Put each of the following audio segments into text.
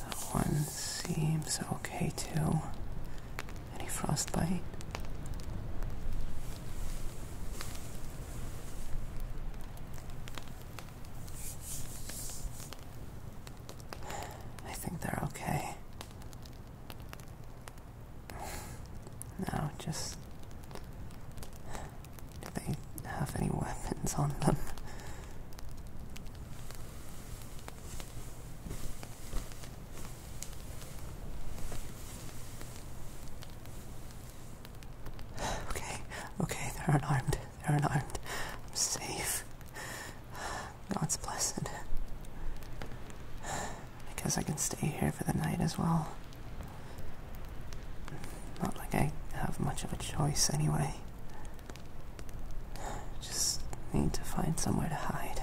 That one seems okay too. Any frostbite? I think they're okay. Now, just. Do they have any weapons on them? Okay, okay, they're unarmed. They're unarmed. I'm safe. God's blessed. I guess I can stay here for the night as well. Not like I have much of a choice anyway. Just need to find somewhere to hide.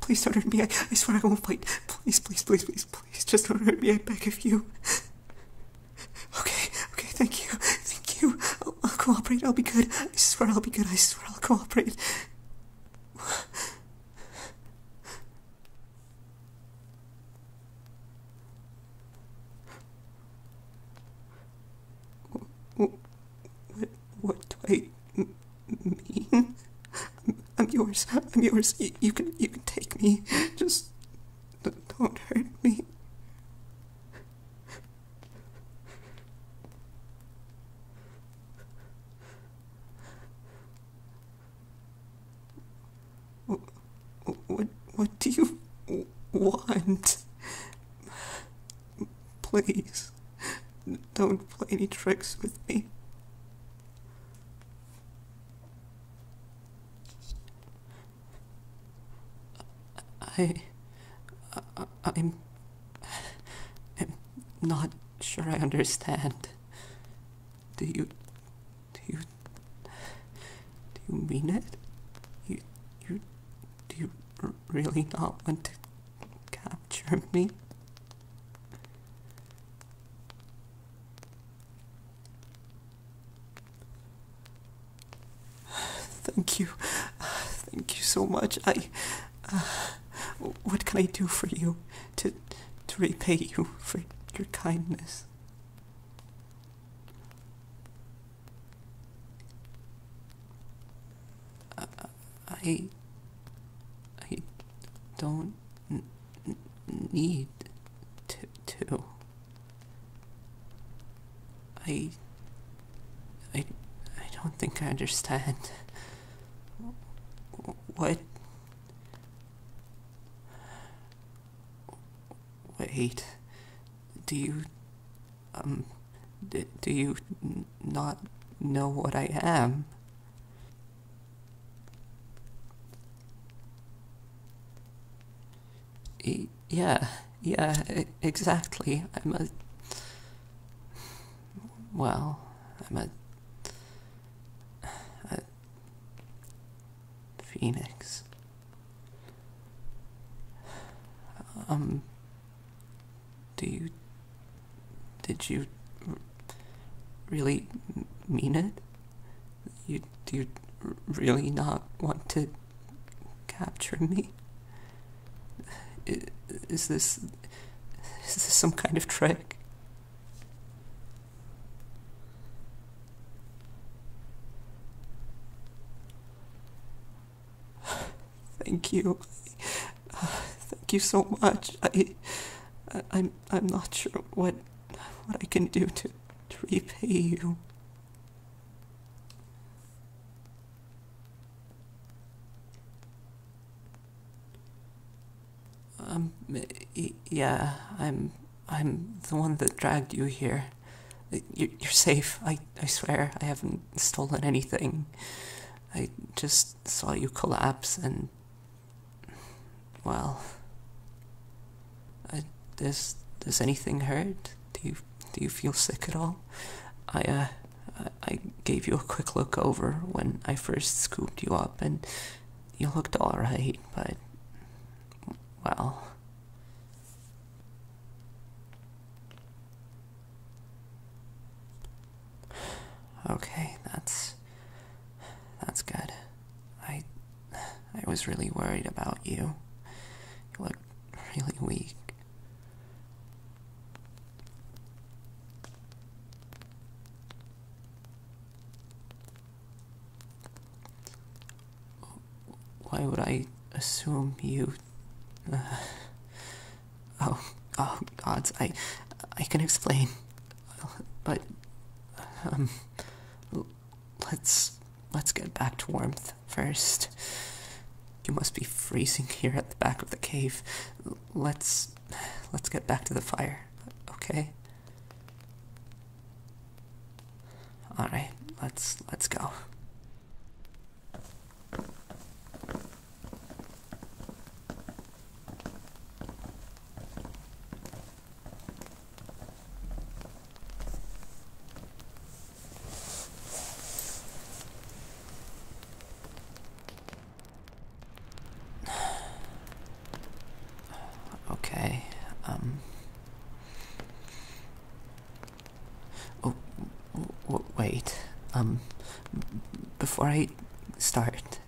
Please don't hurt me. I, I swear I won't fight. Please, please, please, please, please. Just don't hurt me. I beg of you. Okay, okay, thank you, thank you. I'll, cooperate, I'll be good. I swear I'll be good, I swear I'll cooperate. What, what do I mean? I'm, yours. I'm yours. you, can you can take me. Just don't hurt me. What, what, do you want? Please, don't play any tricks with me. I, I am I'm not sure I understand. Do you, do you, do you mean it? You, you, do you really not want to capture me? Thank you. Thank you so much. I. Uh, what can I do for you to, to repay you for your kindness? Uh, I. I don't need to. I. I. I don't think I understand. What? Wait. Do you. Um. do you not know what I am? Yeah, yeah, exactly. I'm a. Well, I'm a. a phoenix. Um. Do you. Did you. really mean it? You you really not want to capture me? Is this is this some kind of trick? Thank you. thank you so much. I, I'm, I'm not sure what, what I can do to, to repay you. Um, yeah, I'm, I'm the one that dragged you here. You're, safe. I, I swear, I haven't stolen anything. I just saw you collapse and well, does does anything hurt? Do you do you feel sick at all? I uh, I gave you a quick look over when I first scooped you up, and you looked all right, but well. Okay, that's that's good. I I was really worried about you. You look really weak. Why would I assume you? Uh, oh, oh, gods! I, I can explain, but, um, Let's let's get back to warmth first. You must be freezing here at the back of the cave. Let's let's get back to the fire. Okay. All right. Let's let's go okay, um... Oh, wait, um, before I start,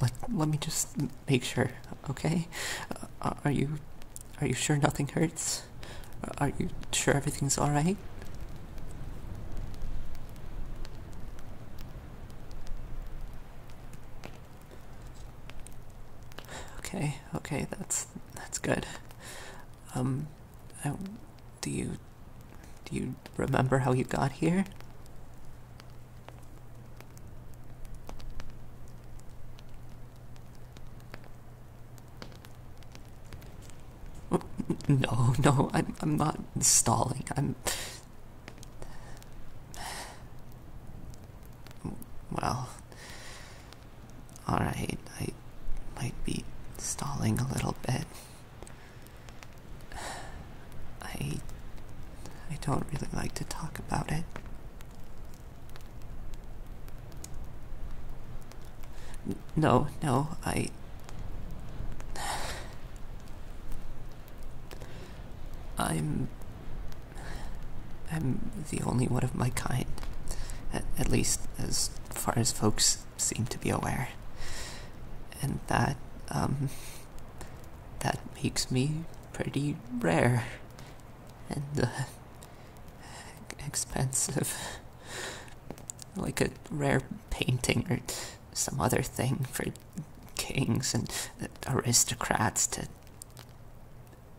let let me just make sure. Okay, uh, uh, are you are you sure nothing hurts? Uh, are you sure everything's all right? Okay, okay, that's that's good. Um, do you do you remember how you got here? No, no, I'm, I'm not stalling. I'm. Well. Alright, I might be stalling a little bit. I I don't really like to talk about it. no, no, I I'm I'm the only one of my kind. At, at least as far as folks seem to be aware. And that um that makes me pretty rare and uh, expensive. like a rare painting or some other thing for kings and aristocrats to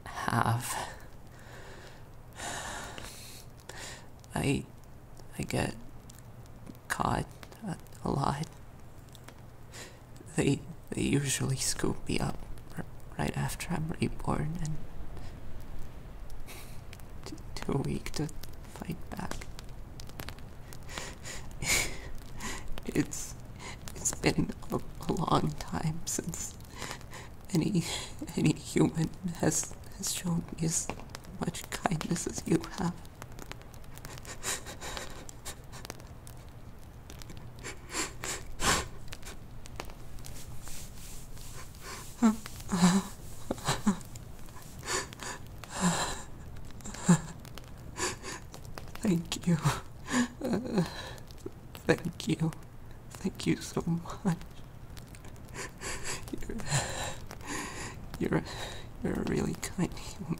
have. I I get caught a, a lot. They they usually scoop me up right after I'm reborn and too weak to fight back. it's it's been a, a long time since any any human has has shown me as much kindness as you have. Thank you. thank you. Thank you so much. You're, you're, you're a really kind human.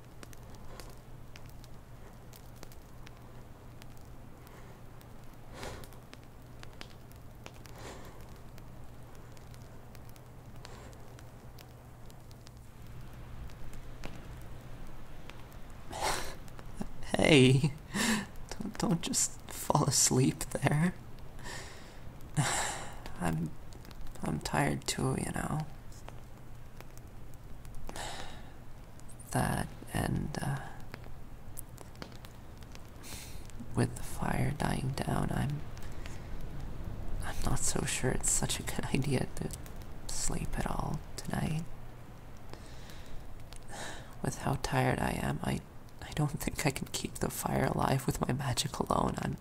hey, don't, don't just fall asleep there. I'm I'm tired too, you know. That and uh, with the fire dying down, I'm I'm not so sure it's such a good idea to sleep at all tonight. With how tired I am, I I don't think I can keep the fire alive with my magic alone. I'm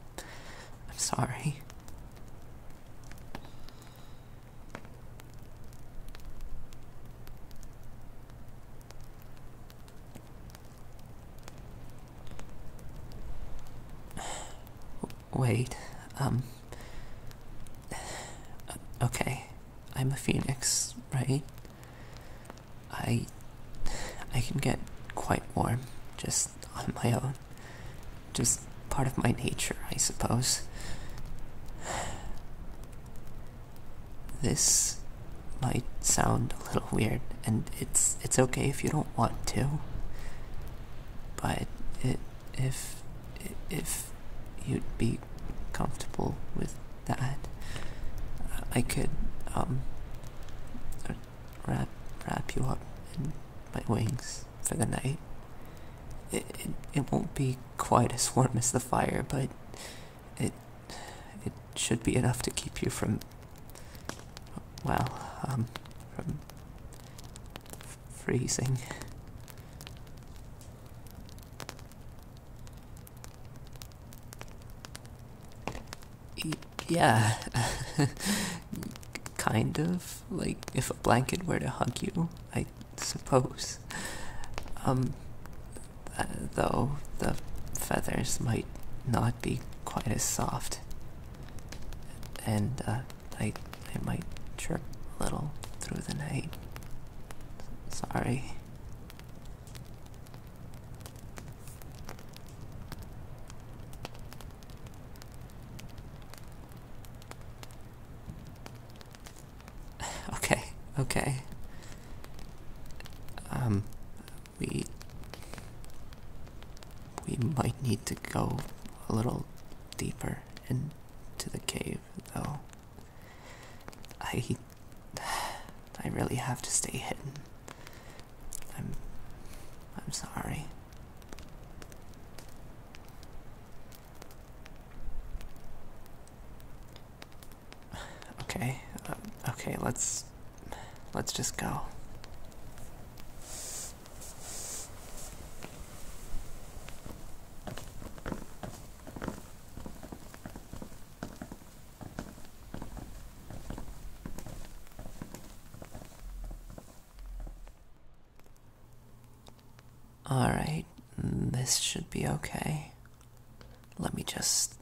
I'm sorry. Wait, um. Okay, I'm a phoenix, right? I. I can get quite warm just on my own. Just part of my nature, I suppose. This might sound a little weird, and it's it's okay if you don't want to. But if if you'd be comfortable with that, I could um wrap wrap you up in my wings for the night. It, it it won't be quite as warm as the fire, but it it should be enough to keep you from well, um from freezing yeah. kind of. Like, if a blanket were to hug you, I suppose. Um, uh, though, the feathers might not be quite as soft. And, uh, I, I might trip a little through the night. Sorry. okay, okay. Um, we we might need to go a little deeper into the cave, though. I I really have to stay hidden. I'm I'm sorry. Okay. Uh, okay, let's let's just go. Alright, this should be okay. Let me just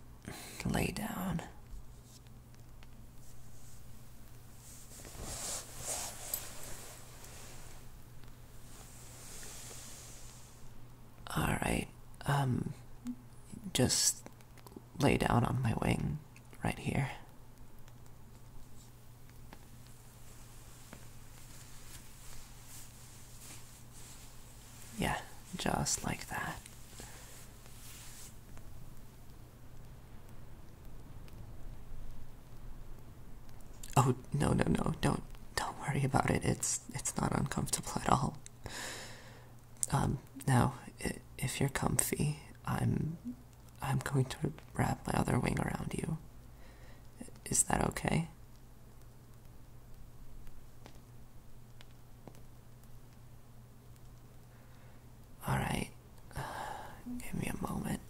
lay down. Alright, um, just lay down on my wing right here. Yeah, just like that. Oh, no, no, no. Don't don't worry about it. It's it's not uncomfortable at all. Um, now, if you're comfy, I'm, I'm going to wrap my other wing around you. Is that okay? All right, give me a moment.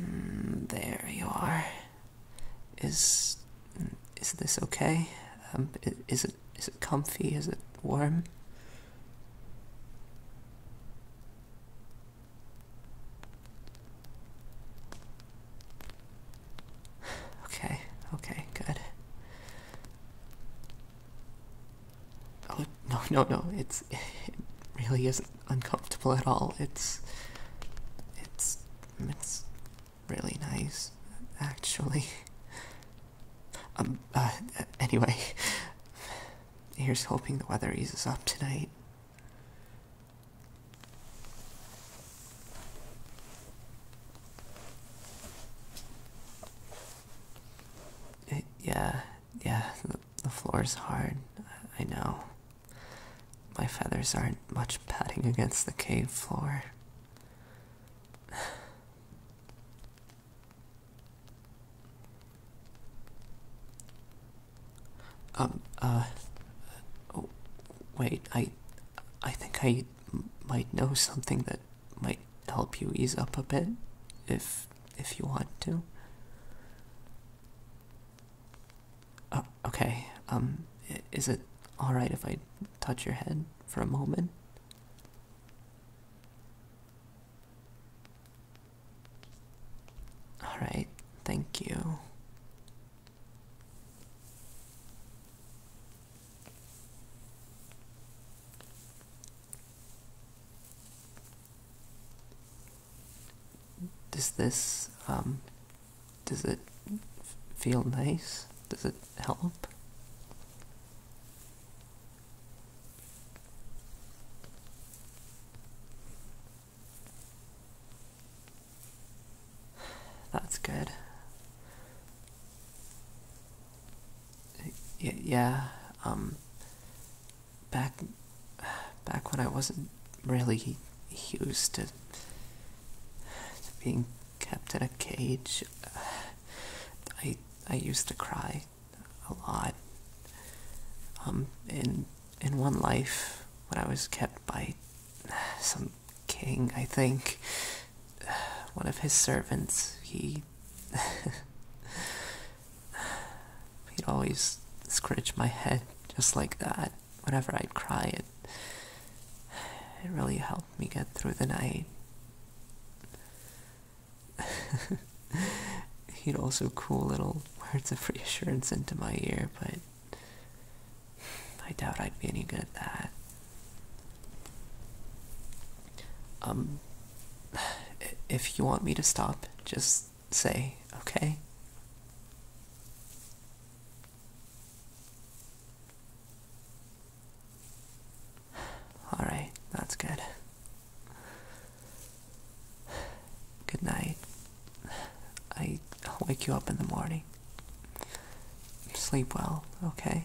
Mm, there you are. Is is this okay? Um, is it is it comfy? Is it warm? Okay, okay, good. Oh no no no! It's it really isn't uncomfortable at all. It's it's it's really nice, actually. Um. Uh, anyway, here's hoping the weather eases up tonight. yeah, yeah, the, floor is hard. I know. My feathers aren't much padding against the cave floor. um, uh, oh, wait, I, I think I might know something that might help you ease up a bit, if, if you want to. Uh, okay, um, is it alright if I touch your head for a moment? Alright, thank you does this um does it feel nice? Does it help? That's good. Yeah, um back back when I wasn't really used to, being kept in a cage, I I used to cry a lot. Um, in in one life when I was kept by some king, I think one of his servants, he. He'd always scratch my head just like that whenever I'd cry. It, it really helped me get through the night. He'd also cool little words of reassurance into my ear, but I doubt I'd be any good at that. Um, if you want me to stop, just say, okay? All right, that's good. Good night. I, will wake you up in the morning. Sleep well, okay?